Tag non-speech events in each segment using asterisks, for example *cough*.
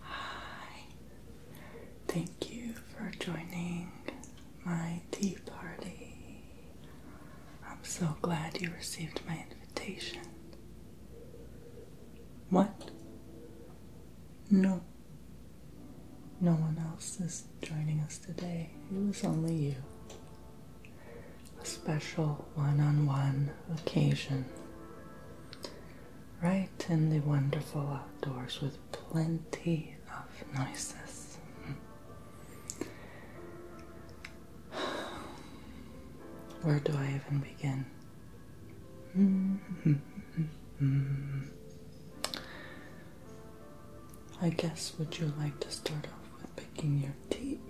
Hi, thank you for joining my tea party. I'm so glad you received my invitation. What? No. No one else is joining us today. It was only you. A special one on one occasion right in the wonderful outdoors with plenty of noises. Where do I even begin? I guess would you like to start off with picking your teeth?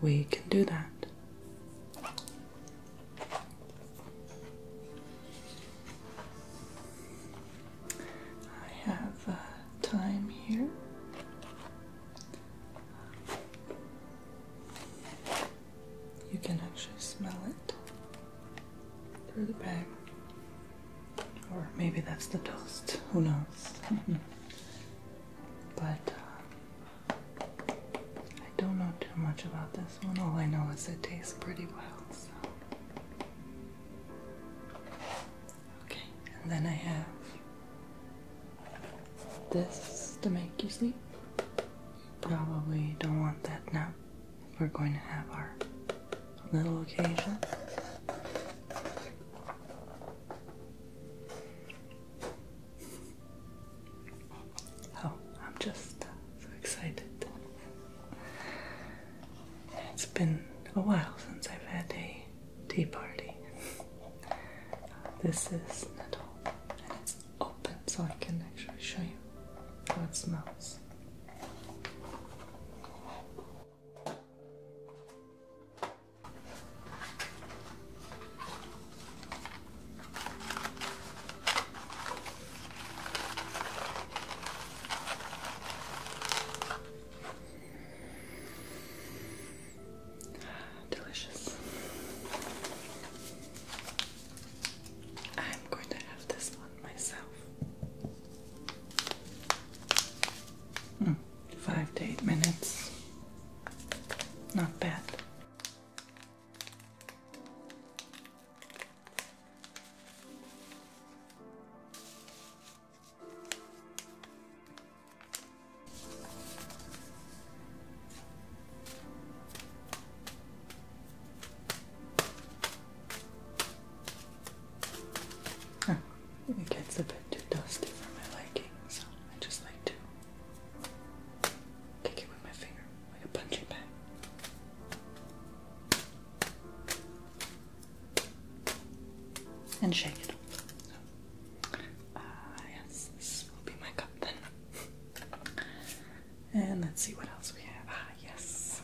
We can do that. I have uh, time here. You can actually smell it through the bag. Or maybe that's the toast. Who knows? *laughs* but uh, I don't know too much about this one. All I know is it tastes pretty well. So. Okay, and then I have this to make you sleep. Probably don't want that now. We're going to have our little occasion. Oh, I'm just so excited. It's been a while since I've had a tea party. This is Natal, and it's open, so I can actually show you how it smells. Delicious. I'm going to have this one myself. Mm five to eight minutes. Not bad. It gets a bit too dusty for my liking, so I just like to kick it with my finger, like a punching bag. And shake it off. Uh, yes, this will be my cup then. *laughs* And let's see what else we have. Ah, yes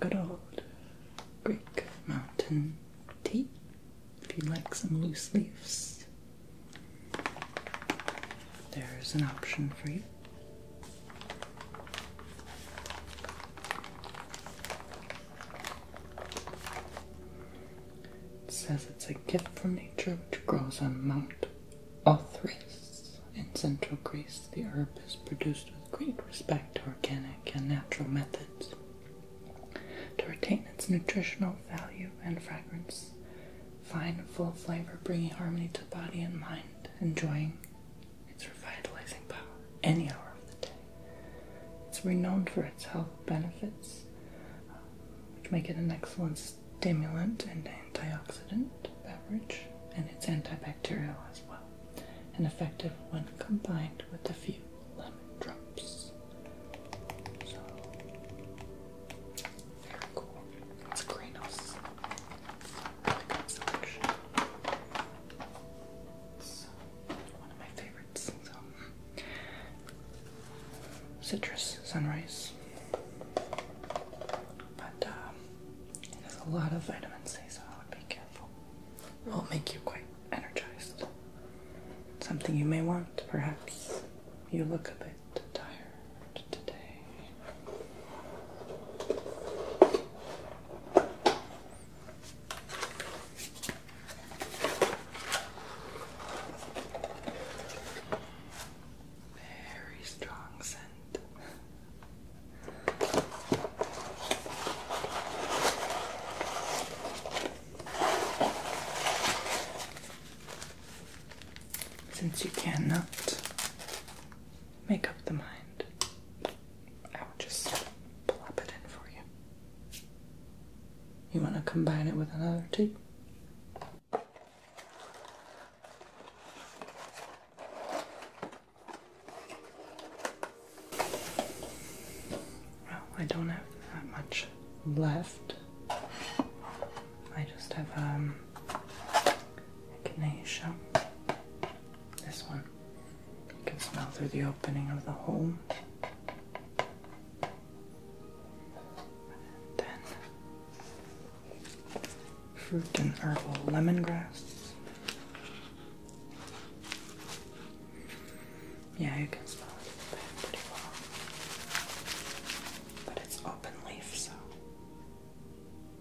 good old Greek mountain tea if you like some loose leaves. There's an option for you. says it's a gift from nature which grows on Mount Othrys. In central Greece, the herb is produced with great respect to organic and natural methods. To retain its nutritional value and fragrance, fine, full flavor, bringing harmony to body and mind, enjoying its revitalizing power any hour of the day. It's renowned for its health benefits, which make it an excellent stimulant and antioxidant beverage, and it's antibacterial as well and effective when combined with a few lemon drops. very cool. It's Granos. Really good selection. It's one favorites. So, citrus sunrise. But um, it has a lot of vitamin C, so I would be careful. It will make you quite energized. Something you may want, perhaps. You look a bit tired today very strong scent. Since you cannot make up the mind, I will just plop it in for you. You want to combine it with another tea? Oh, I don't have that much left. I just have um, echinacea. This one. You can smell through the opening of the hole. then Fruit and herbal lemongrass. Yeah, you can smell it pretty well. But it's open leaf, so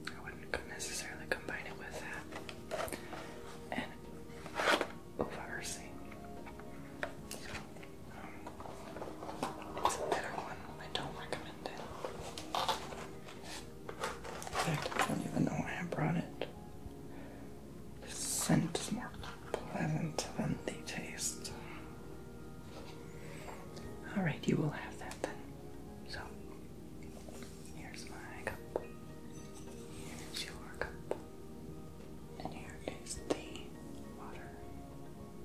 I wouldn't necessarily combine it with that. And uva um, it's a better one. I don't recommend it. In fact, I don't even know why I brought it. The scent is more pleasant than the taste. Alright, you will have that then. So, here's my cup. Here's your cup. And here is the water.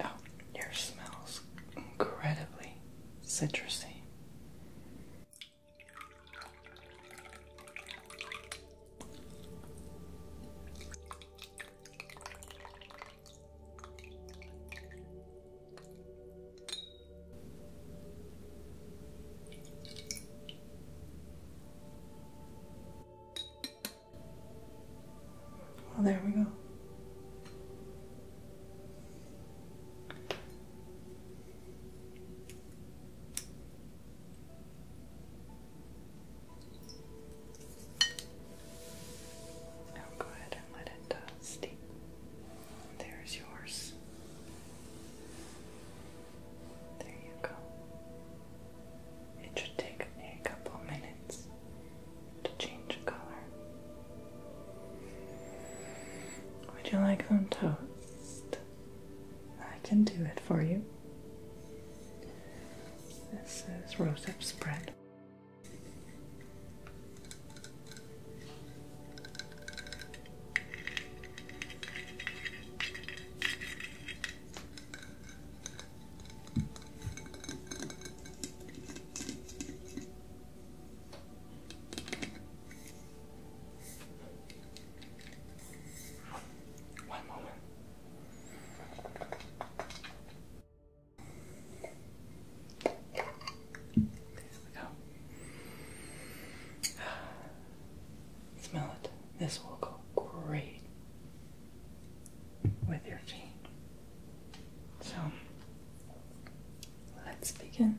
Oh, your smells incredibly citrusy. Oh, there we go. Now go ahead and let it uh, steep. There's yours. There you go. It should take a couple minutes to change color. Would you like some toast? I can do it for you. This is rose up spread. One moment. There we go. Smell it. This will go great with your tea. So let's begin.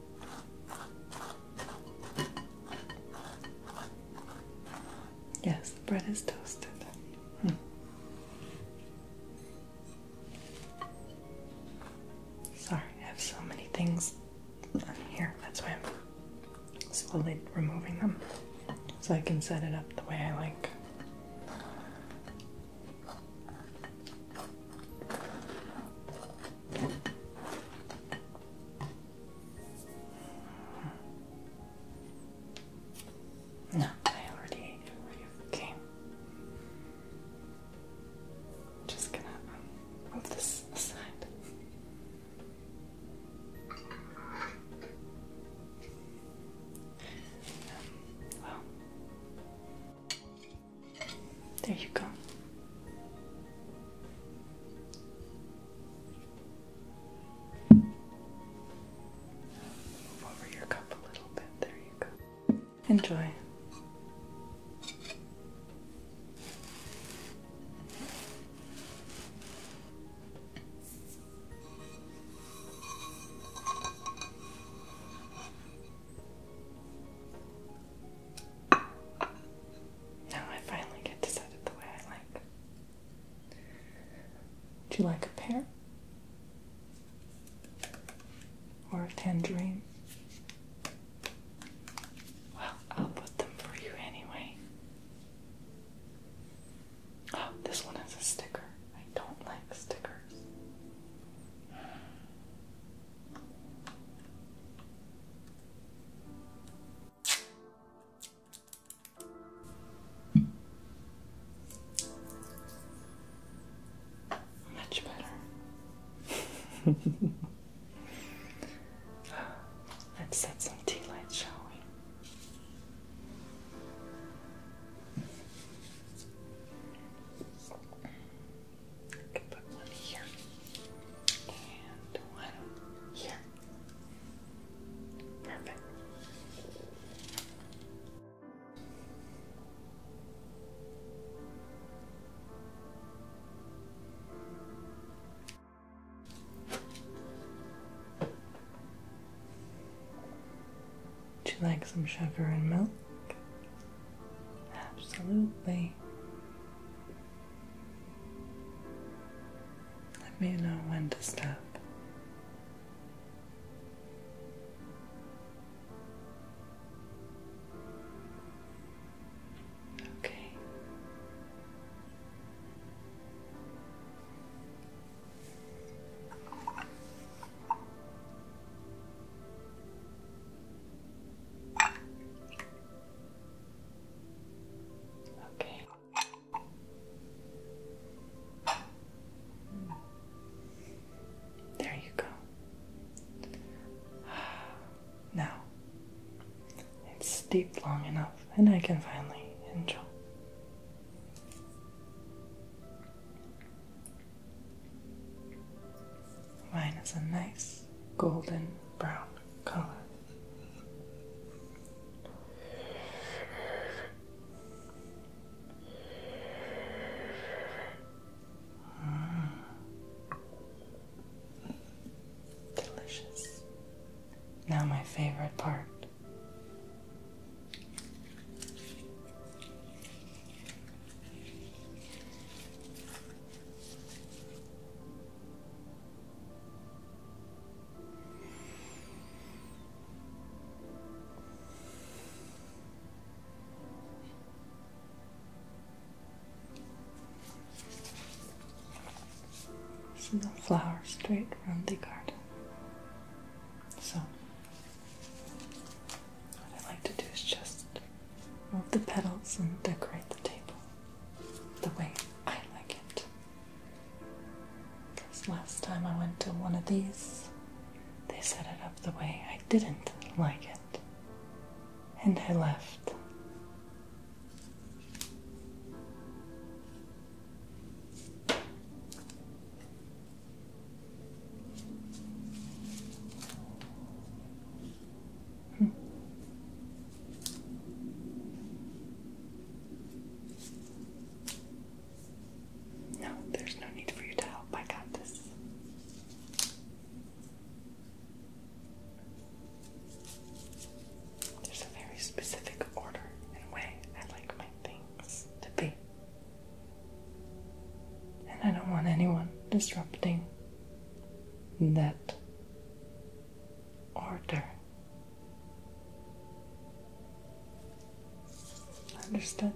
Yes, the bread is toasted. Hmm. Sorry, I have so many things on here. That's why I'm slowly removing them so I can set it up the way I like. No, I already ate. Just gonna um, move this aside. Um, there you go. Move over your cup a little bit. There you go. Enjoy. Now I finally get to set it the way I like. Would you like a pear? Or a tangerine? Well, I'll put them for you anyway. Oh, this one has a sticker. I don't like stickers. Much better. *laughs* Let's set some tea lights, shall we? put one here and one here. Perfect. Would you like some sugar and milk? Absolutely. Let me know when to stop. Okay. Okay. There you go. *sighs* Now it's steeped long enough, and I can finally enjoy. Mine is a nice golden brown color. Mm. Delicious. Now, my favorite part the flowers straight from the garden. So what I like to do is just move the petals and decorate the table the way I like it. Because last time I went to one of these, they set it up the way I didn't like it. And I left. No, there's no need for you to help. I got this. There's a very specific order and way I like my things to be. And I don't want anyone disrupting that order. Understand?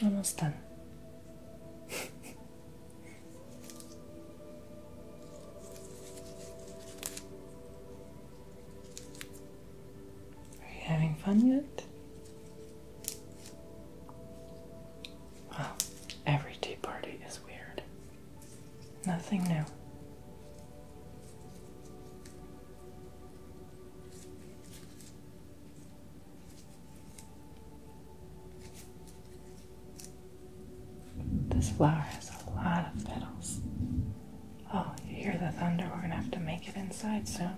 Almost done. *laughs* Are you having fun yet? Well, every tea party is weird. Nothing new. This flower has a lot of petals. Oh, you hear the thunder? We're gonna have to make it inside soon.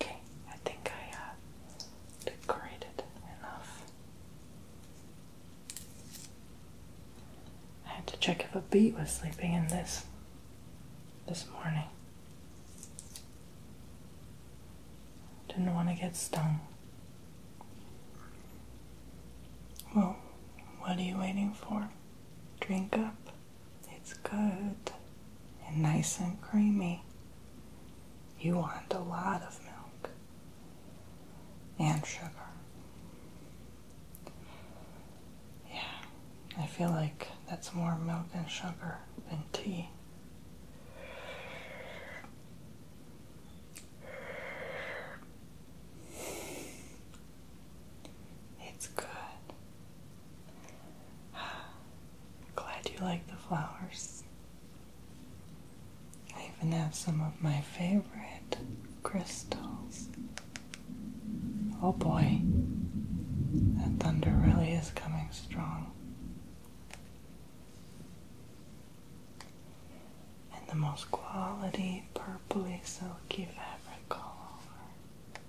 Okay, I think I uh, decorated enough. I had to check if a bee was sleeping in this this morning. Didn't want to get stung. Well, what are you waiting for? Drink up. It's good and nice and creamy. You want a lot of milk and sugar. Yeah, I feel like that's more milk and sugar than tea. It's good *sighs* Glad you like the flowers. I even have some of my favorite crystals. Oh boy, that thunder really is coming strong. And the most quality purpley silky fabric all over.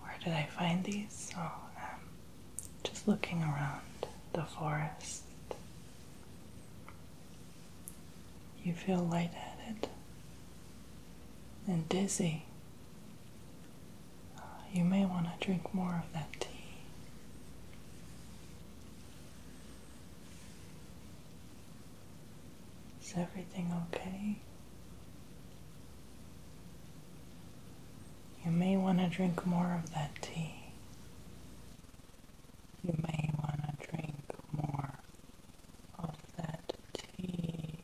Where did I find these? Oh, um, just looking around the forest. You feel light-headed and dizzy. Uh, you may want to drink more of that tea. Is everything okay? You may want to drink more of that tea. You may want to drink more of that tea.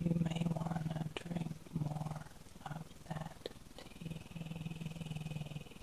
You may want to drink more of that tea.